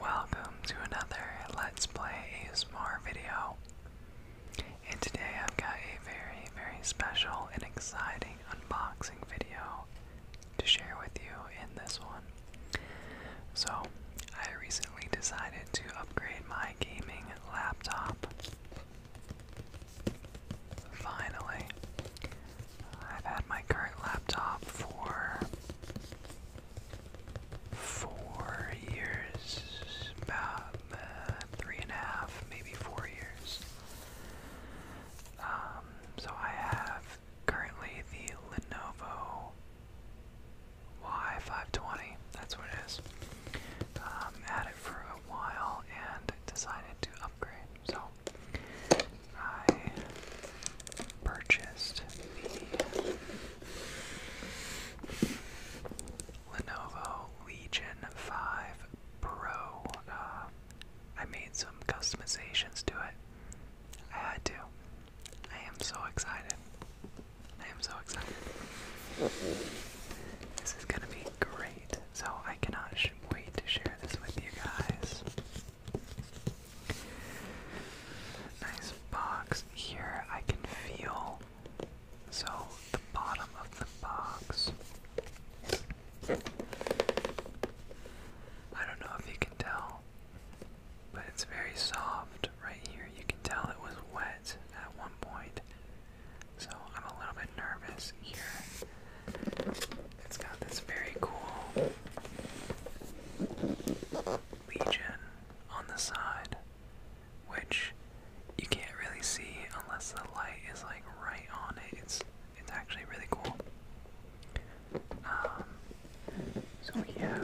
Welcome to another Let's Play a ASMR video. And today I've got a very, very special and exciting unboxing video to share with you in this one. So, I recently decided to upgrade my gaming laptop. Finally. I've had my current laptop for four years, about uh, three and a half, maybe four years. Um, so I have currently the Lenovo Y520, that's what it is. Um, had it for a while and decided to upgrade. So I purchased the Lenovo Legion 5 Pro. Uh, I made some customizations to it. I had to. I am so excited. I am so excited. This is gonna be great. So I cannot wait to share this with you guys. Nice box here. I can feel so the bottom of the box. I don't know if you can tell, but it's very soft right here. You can tell it was wet at one point. So I'm a little bit nervous here. It's got this very cool legion on the side, which you can't really see unless the light is like right on it. It's it's actually really cool. Um, so yeah,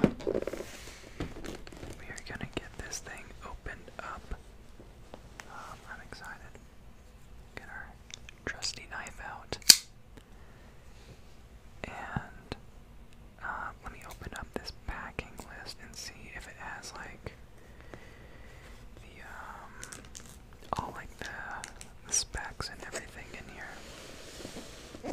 we are gonna get this thing opened up. Um, I'm excited. Get our trusty knife out. And uh, let me open up this packing list and see if it has like the um, all like the specs and everything in here.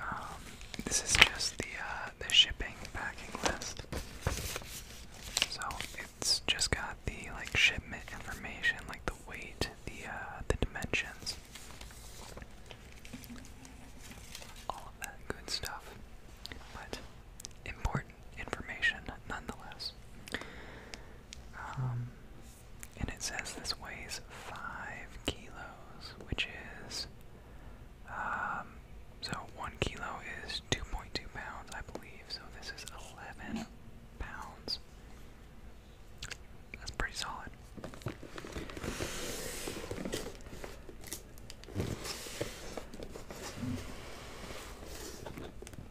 um, this is just the uh, the shipping packing list. So it's just got the like shipment information, like the weight, the uh, the dimensions, all of that good stuff. But important information nonetheless. Um, and it says this weighs five kilos, which is um, so one kilo is 2.2 pounds, I believe. So this is 11 pounds. That's pretty solid.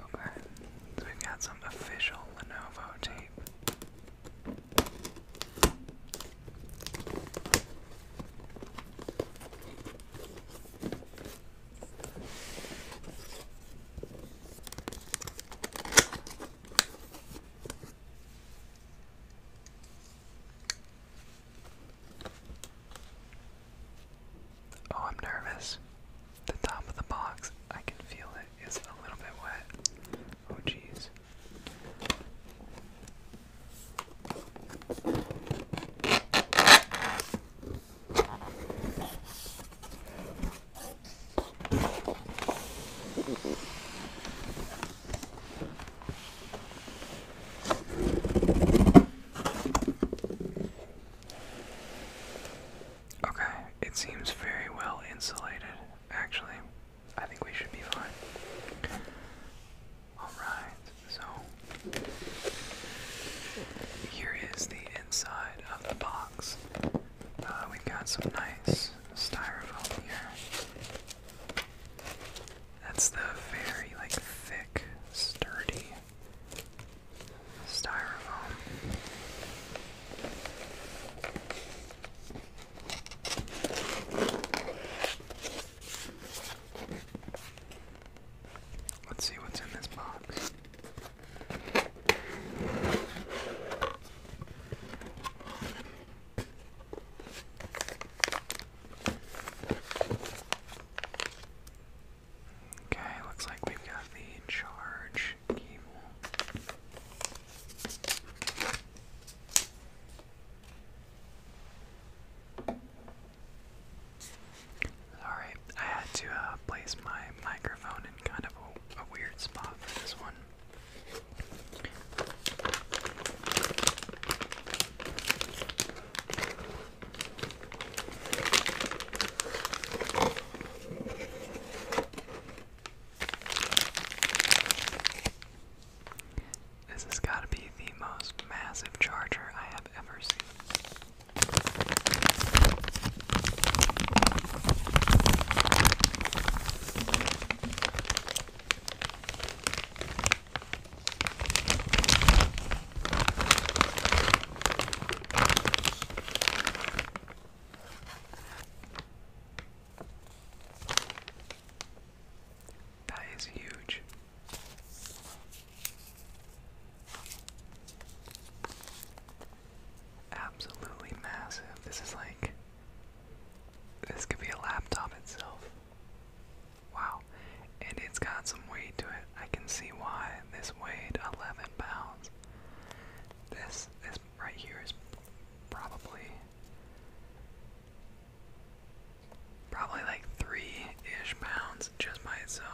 Okay, so we've got some official Lenovo tape. Oh, I'm nervous. The top of the box, I can feel it is a little bit wet. Oh, jeez. Okay, it seems very well insulated, actually. I think we should be fine. Alright, so here is the inside of the box. Uh, we've got some nice styrofoam here. That's the very like thick, sturdy styrofoam. Let's see what's in this box. Okay, looks like we've got the charge cable. Sorry, I had to uh, place my microphone in kind of a weird spot for this one. This has got to be the most massive charger I have ever seen. That is huge. Absolutely massive. This is like. This could be a laptop itself. Wow. And it's got some weight to it. I can see why this weighed 11 pounds sense. This right here is probably probably like three-ish pounds just by itself.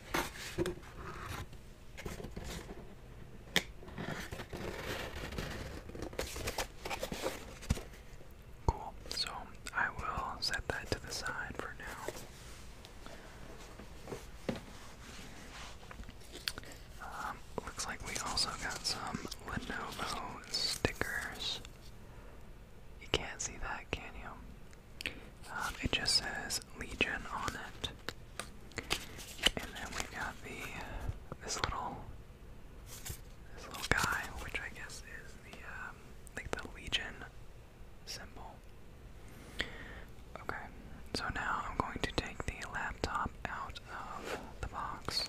Cool. So I will set that to the side for now. Um, looks like we also got some Lenovo stickers. You can't see that, can you? Um, it just says Legion on it. And then we got the this little this little guy, which I guess is the um, like the Legion symbol. Okay, so now I'm going to take the laptop out of the box.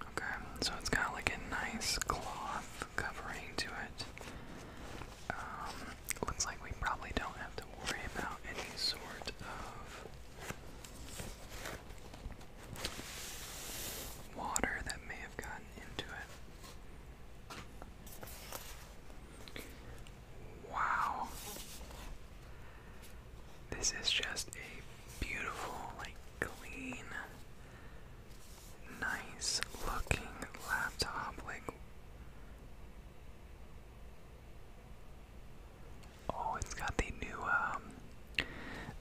Okay, so it's got like a nice cloth covering to it. Um, looks like we probably don't have to worry about any sort of water that may have gotten into it. Wow. This is just a beautiful, like clean, nice looking laptop. Like, Oh, it's got the new um,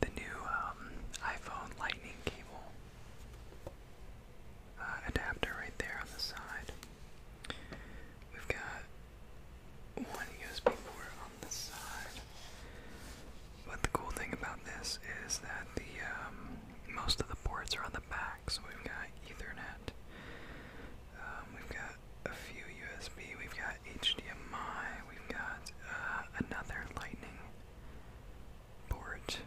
the new um, iPhone lightning cable uh, adapter right there on the side. We've got one USB port on the side. But the cool thing about this is that the um, most of the ports are on the back, so we've got Ethernet. we've got a few USB, we've got HDMI, we've got uh, another lightning port.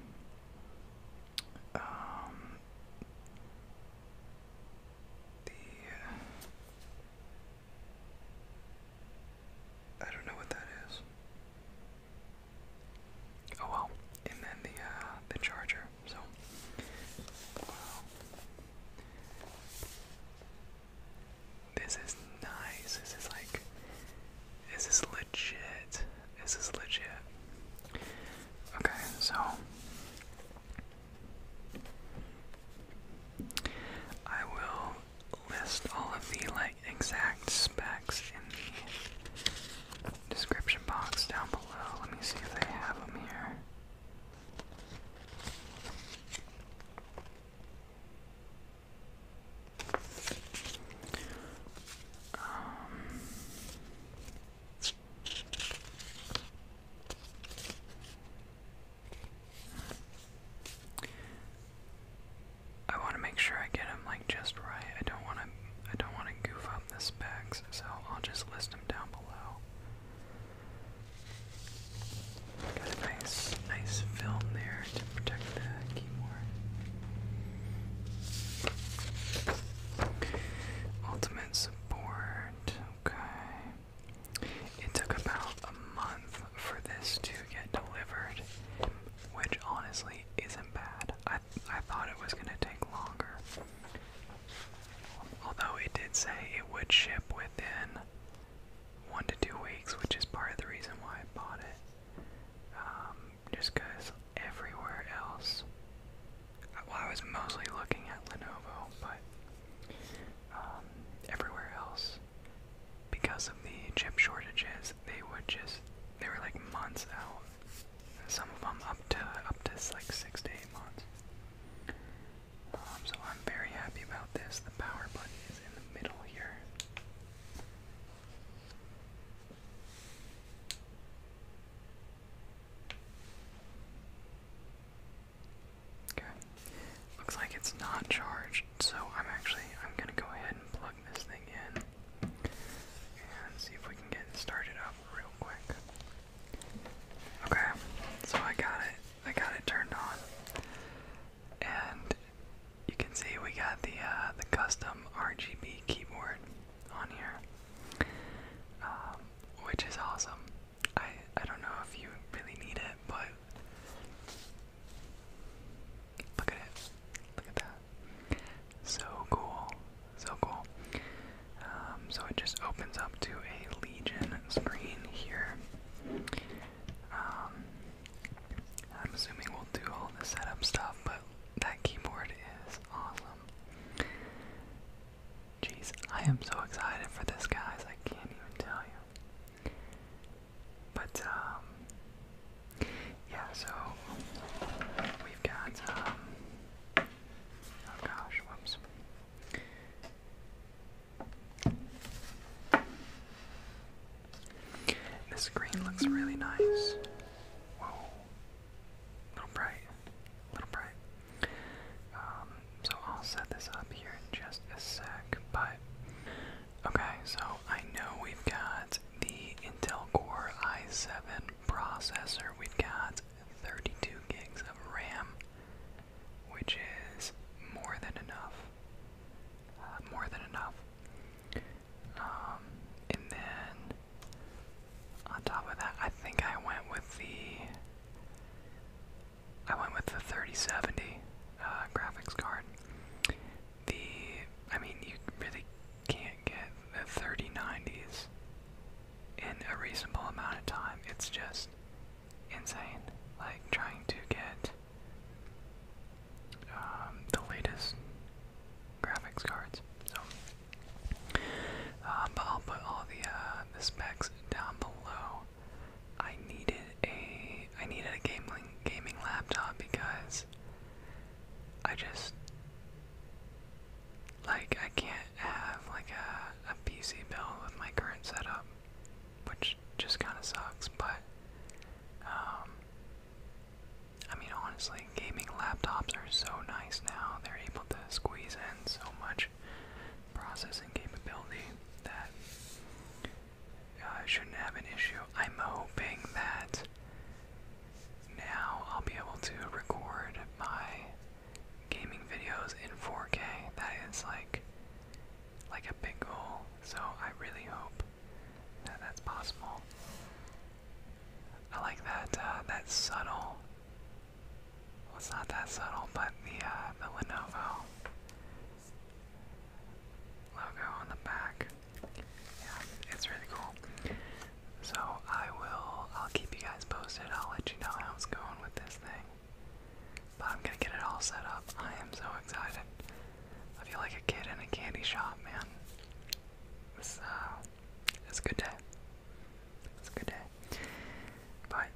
Um, the uh, I don't know what that is. Oh well, and then the uh, the charger. So, this is nice. This is like. This is legit. This is legit. Okay, so. I will list all of the like exact specs in the description box down below. Let me see if they have them here. I want to make sure I get them like just right. I don't want to. I don't want to goof up the specs, so I'll just list them down below. Got a nice, nice film there to protect the keyboard. Ultimate support, okay. It took about a month for this to get delivered, which honestly isn't bad. I I thought it was gonna take longer. Although it did say it would ship within one to two weeks, which is part of the reason why I bought it. Um, just because everywhere else, well, I was mostly looking at Lenovo, but um, everywhere else, because of the chip shortages, they would just, they were like months out. Some of them up to, up to like six to eight months so I'm very happy about this. The power button is in the middle here. Okay. Looks like it's not charged, so I'm actually I'm gonna go ahead and plug this thing in and see if we can get started up real quick. Okay, so I got it. I got it turned on, and you can see we got the uh, the custom RGB keyboard on here, um, which is awesome. I I don't know if you really need it, but look at it. Look at that. So cool. So cool. Um, so it just opens up to a Legion screen here. Um, I'm assuming we'll do all the setup stuff, but that keyboard is awesome. Jeez, I am so excited for this, guys. I can't even tell you. But, um, yeah, so we've got, um, oh gosh, whoops. This screen looks really nice. Whoa. little bright. little bright. Um, so I'll set this up here in just a sec, but okay, so I know we've got the Intel Core i7 processor, we've got 32 gigs of RAM, which is more than enough. Uh, more than enough. Um, and then on top of that, I think I went with the I went with the 3070 uh, graphics card. The I mean, you really can't get the 3090s in a reasonable amount of time. It's just insane. Like trying to get um, the latest graphics cards. So, um, but I'll put all the uh, the specs down below. I needed a I needed a gaming gaming laptop because I just like I can't have like a, a PC build with my current setup, which just kind of sucks. But um, I mean, honestly, gaming laptops are so nice now. They're able to squeeze in so much processing capability that I uh, shouldn't have an issue. I'm hoping that now I'll be able to record my gaming videos in 4K. That is like like a big goal. So I really hope that that's possible. I like that uh, that subtle. Well, it's not that subtle, but the uh, the Lenovo logo on the back. Yeah, it's really cool. So I will, I'll keep you guys posted. I'll let you know how it's going with this thing. But I'm gonna get it all set up. I am so excited. I feel like a kid in a candy shop, man. It's, uh, it's a good day. It's a good day. But,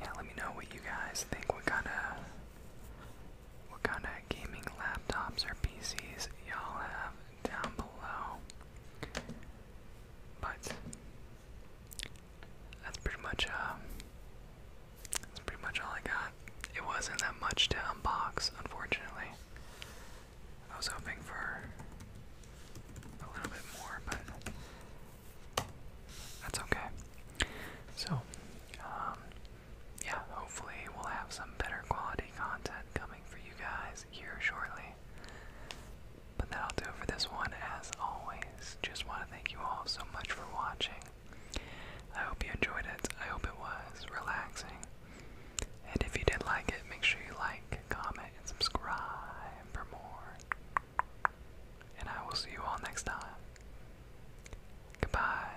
yeah, let me know what you guys think. What kind of, what kind of gaming laptops or PCs y'all have? down below. But that's pretty much uh, that's pretty much all I got. It wasn't that much to unbox, unfortunately. I was hoping for a little bit more, but that's okay. So, um, yeah, hopefully we'll have some better quality content coming for you guys here shortly. But that'll do it for this one, as always. Just want to thank you all so much for watching. I hope you enjoyed it. I hope it was relaxing. And if you did like it, make sure you like, comment, and subscribe for more. And I will see you all next time. Goodbye.